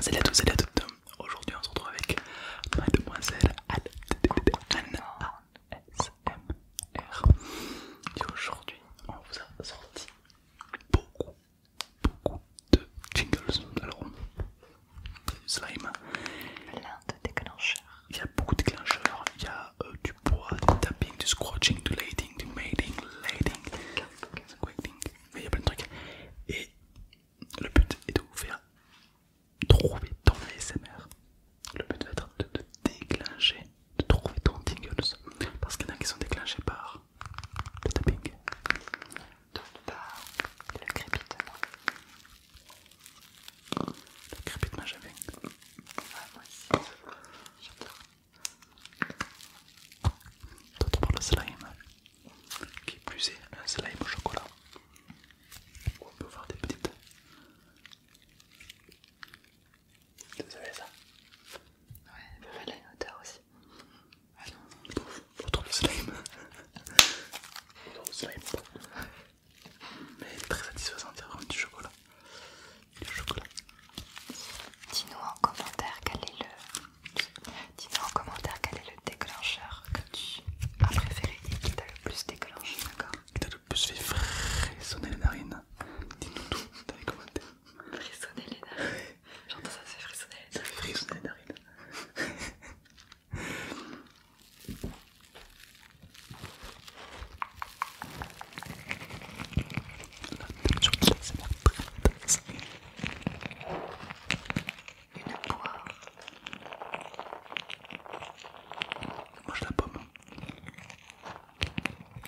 Salut à tous, salut à toutes. Aujourd'hui, on se retrouve avec Mademoiselle ASMR. Et aujourd'hui, on vous a sorti beaucoup, beaucoup de jingles. Alors, slime. Plein de déclencheurs. Il y a beaucoup de déclencheurs. Il y a euh, du bois, du tapping, du scratching, du lighting, du mating, lighting, mais il y a plein de trucs le but est de vous faire trouver ton ASMR. Le but va être de déclencher, de trouver ton tingles. Parce qu'il y en a qui sont déclenchés par le tapping. Donc par le crépitement. Le crépitement, j'avais. moi aussi, j'adore. D'autres par le slime qui plus est un slime au chocolat. on peut voir des petites. Vous avez ça Ouais, il peut faire la hauteur aussi. Ah non, le slime. le slime. Mais très satisfaisant, il y du chocolat. Du chocolat. Dis-nous en commentaire quel est le Dis-nous en commentaire quel est le déclencheur que tu as préféré et qui t'a le plus déclenché, d'accord Qui t'a le plus fait frissonner les narines Dis-nous tout dans les commentaires. Frissonner les narines J'entends ça, ça fait frissonner les narines. Ça fait frissonner les narines. une poire. Mange la pomme.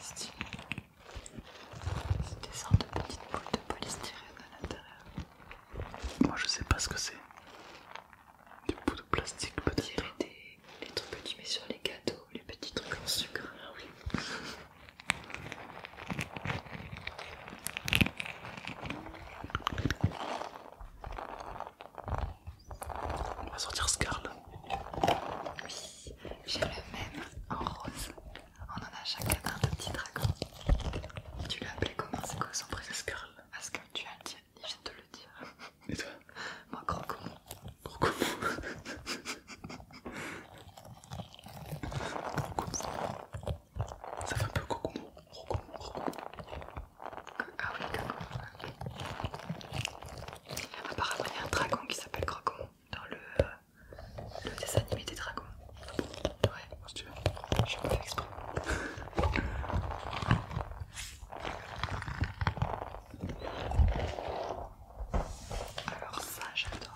C'est des sortes de petites boules de polystyrène à l'intérieur. Moi je sais pas ce que c'est. Des bouts de plastique peut-être. Des, trucs que tu mets sur les gâteaux, les petits trucs en sucre. Ah oui. On va sortir Scarl. Oui, j'ai le même en rose. On en a chacun un petit dragon. Tu l'as appelé comment C'est quoi son prénom Scarl. Parce que tu as le tien, il vient de le dire. Et toi Moi, Croco. Croco. Ça fait un peu Kokomo Ah oui, ok. Apparemment, il y a un dragon qui s'appelle Kokomo dans euh, le, dessin animé des dragons. Ouais, si tu veux. Je me exprès. Alors ça j'adore.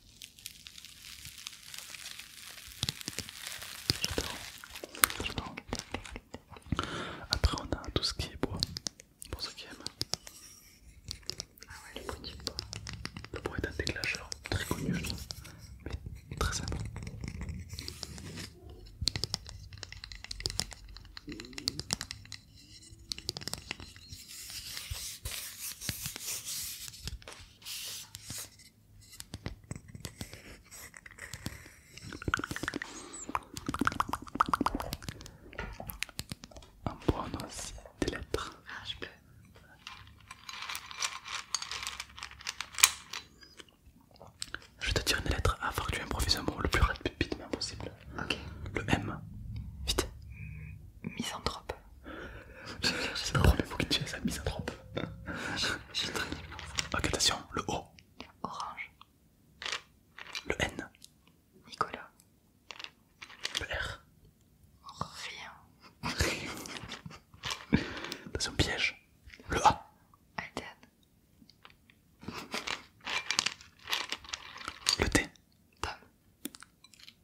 J'adore. Après, on a tout ce qui est bois. Pour ceux qui aiment. Ah le bruit du bois. Le bois est un déclencheur très connu, je trouve. Mais très simple. On prend aussi des lettres. Ah, je peux. Je vais te dire une lettre afin que tu improvises un mot le plus rapidement possible. Ok. Le M. Vite. Misanthrope. C'est le premier tu qui tue, ça trop. J'ai très bien. Ok, attention, le O. Orange. Le N. Nicolas. Le R. Rien. Rien. Attention, piège. Le A. Aden. Le T. Tom.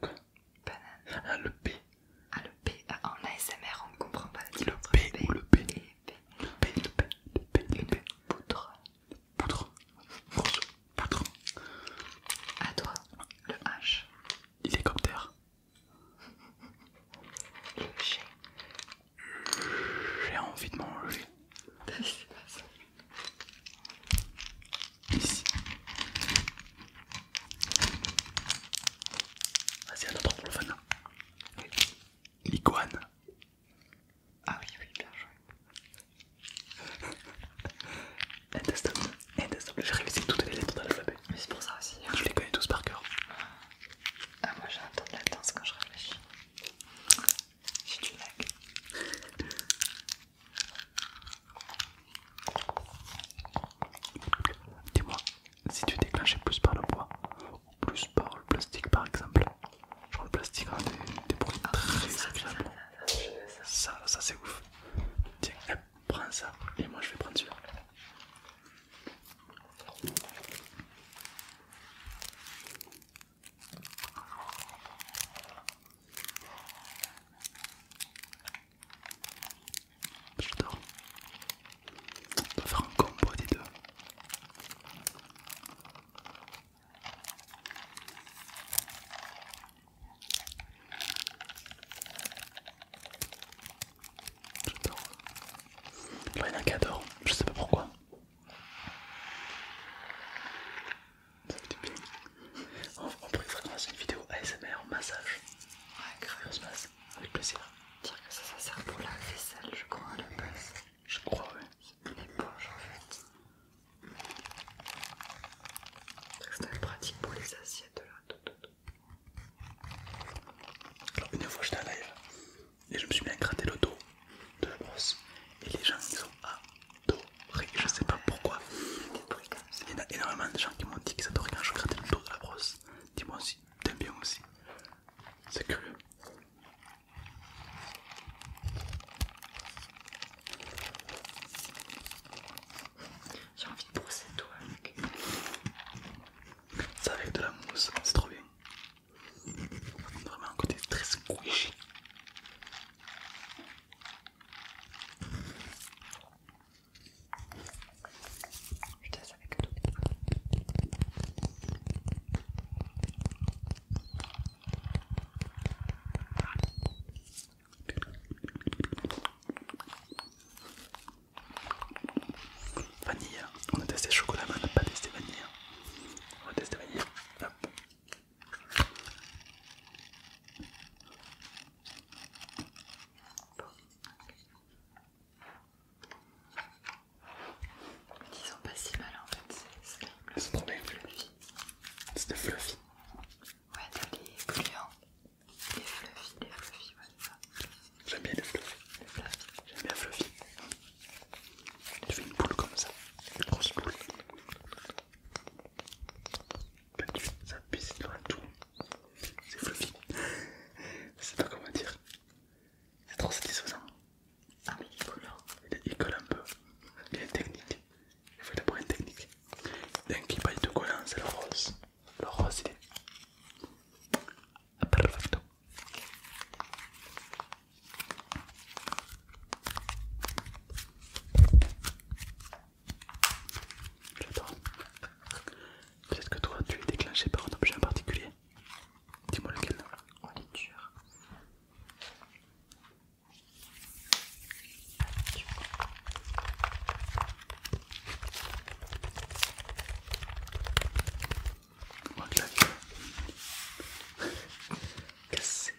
Banane. Ah, le P. Ah, le P. Euh, en ASMR, on ne comprend pas Le P, ou le P. Le P, le P, le P, le Le À toi, le H. Hélicoptère. le G. J'ai envie de manger. Ici. Vas-y, un autre pour le fun. Ah oui, oui, bien joué. Intestable, intestable. J'ai révisé toutes les lettres de l'alphabet. Mais c'est pour ça aussi. Hein. Je les connais tous par cœur. Ah, moi j'ai un temps de quand je réfléchis. J'ai du lag. Dis-moi, si tu déclenches plus par le bois ou plus par le plastique par exemple, genre le plastique a des, bruits ah, très agréables. ça, ça c'est ouf. Tiens, prends ça et moi je vais prendre celui-là. J'adore. On va faire un combo des deux. J'adore. il y en a qui adore, je sais pas pourquoi. Ça fait du bien on, pourrait vraiment faire une vidéo ASMR massage. Ouais, grave. On se masse, avec plaisir. Dire que ça, ça sert pour la vaisselle, je crois, à la base. Je crois, oui. C'est une éponge en fait. C'est très pratique pour les assiettes là. Alors, une fois j'étais en live et je me suis bien gratté le dos de la et les gens ils à dos je sais pas pourquoi. Il y a énormément de gens qui m'ont dit qu'ils adoraient quand je grattais le dos de la brosse. Dis-moi aussi, t'aimes bien aussi. C'est curieux. J'ai envie de brosser tout avec. Ça avec de la mousse, c'est trop bien. Vraiment un côté très squishy. Je teste avec tout. Vanille, on a testé chocolat, mais on n'a pas testé vanille. Hein. On va tester vanille. Ils sont pas si mal en fait, c'est le fluffy. C'est fluffy. Ouais, t'as les gluants, des fluffy, des fluffy, ouais, ça. J'aime bien les fluffy. J'aime bien fluffy. Tu fais une boule comme ça, une grosse boule. Bah, ça pisse dans tout. C'est pas comment dire. C'est trop satisfaisant. Ah, il colle. colle un peu. Il technique. Il faut d'abord une technique. D'un qui de collant, c'est le rose. Le rose il est J'adore. Peut-être que toi tu es déclenché par un objet en particulier. Dis-moi lequel. On oh, est dur. c'est...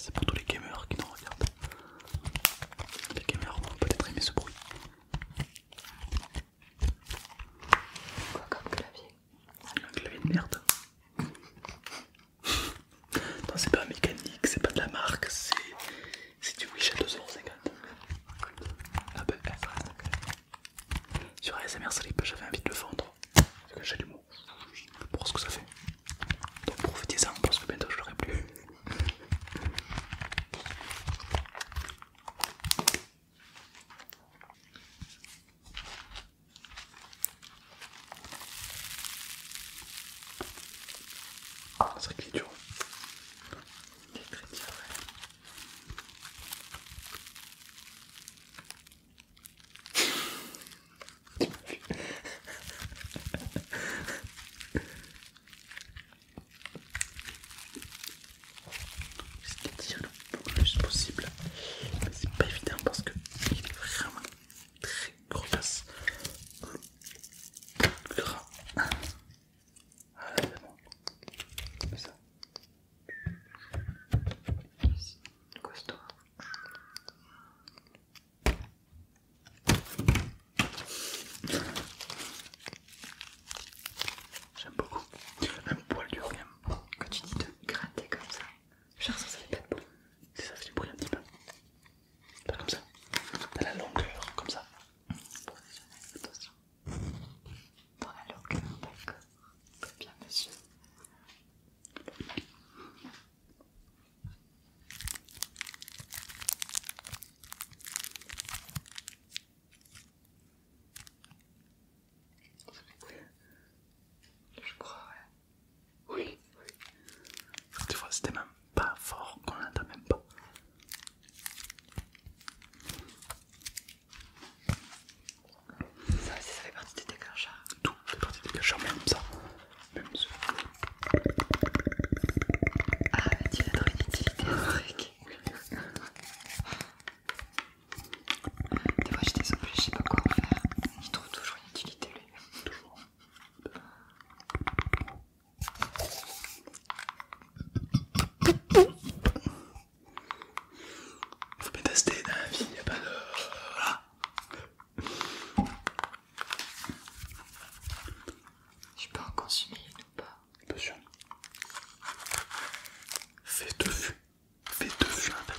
c'est pour tous les gamers qui nous regardent. Les gamers vont peut-être aimer ce bruit. Quoi comme clavier Un clavier de merde. Non, c'est pas mécanique, c'est pas de la marque, c'est du Wish à 2,50€. Ah, bah, eh, sur ASMR Slip, j'avais envie de le vendre, c'est que j'ai du sais pour ce que ça fait. Donc profitez-en parce que bientôt je l'aurai plus c'est vrai qu'il est dur. Il est très dur, tu m'as vu. J'essaie de tirer le plus possible, mais c'est pas évident parce qu'il est vraiment très très grosse gras. Ah là, bon. Comme ça. Ici, costaud. J'aime beaucoup. Un poil dur quand tu dis de gratter comme ça. Genre ça, ça fait ça du bruit un petit peu. Pas comme ça. T'as la longueur, comme ça. attention. Dans la longueur, d'accord. bien, Je crois, ouais. Oui, oui. Tu vois, c'était même pas fort qu'on l'entend même pas. Ça, ça fait partie des déclencheurs. Tout fait partie des déclencheurs, même ça. Même ça. Ah, mais tu vas une utilité à ce truc. Des fois, je suis désolée, je sais pas quoi en faire. Il trouve toujours une utilité toujours. Faut pas tester dans la vie, a pas de... Voilà. Je peux en consommer ou pas Bien sûr. Fais deux Fais deux en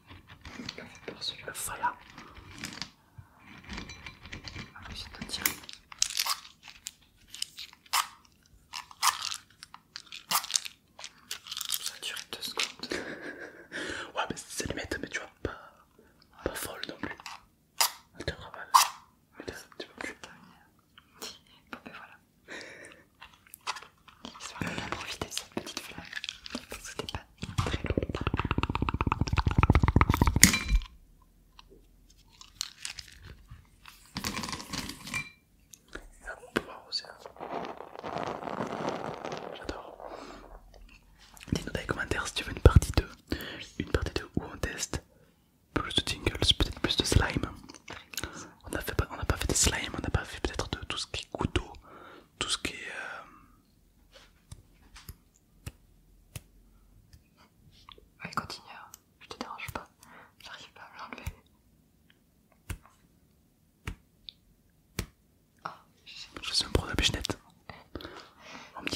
Ah, Ça a duré secondes. ouais, mais c'est limite mais tu vois, pas, folle non plus. Elle te tu plus. Ben J'espère qu'on a profité de cette petite flamme parce que c'était pas très long. Hein. J'adore. Dis-nous dans les commentaires si tu veux une partie 2. Une partie 2 où on teste plus de tingles, peut-être plus de slime. On n'a pas fait de slime, on n'a pas fait peut-être de tout ce qui est couteau, tout ce qui est euh... continue hein. je te dérange pas j'arrive pas à me l'enlever oh, je suis un pro de la pichenette on me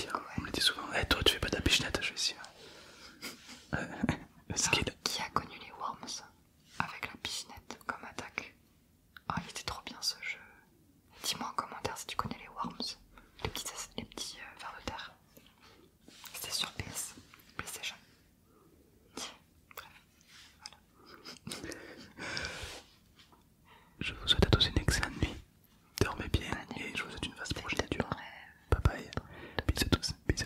le dit souvent eh, toi tu fais pas de la je vais essayer qui a connu les worms avec la pichinette comme attaque ah, oh, il était trop bien ce jeu. Dis-moi en commentaire si tu connais les worms, les petits, les euh, de terre. C'était sur PS, PlayStation. Bref, voilà. Je vous souhaite à tous une excellente nuit. Dormez bien et je vous souhaite une vaste progéniture. Bye bye. Bisous à tous, bisous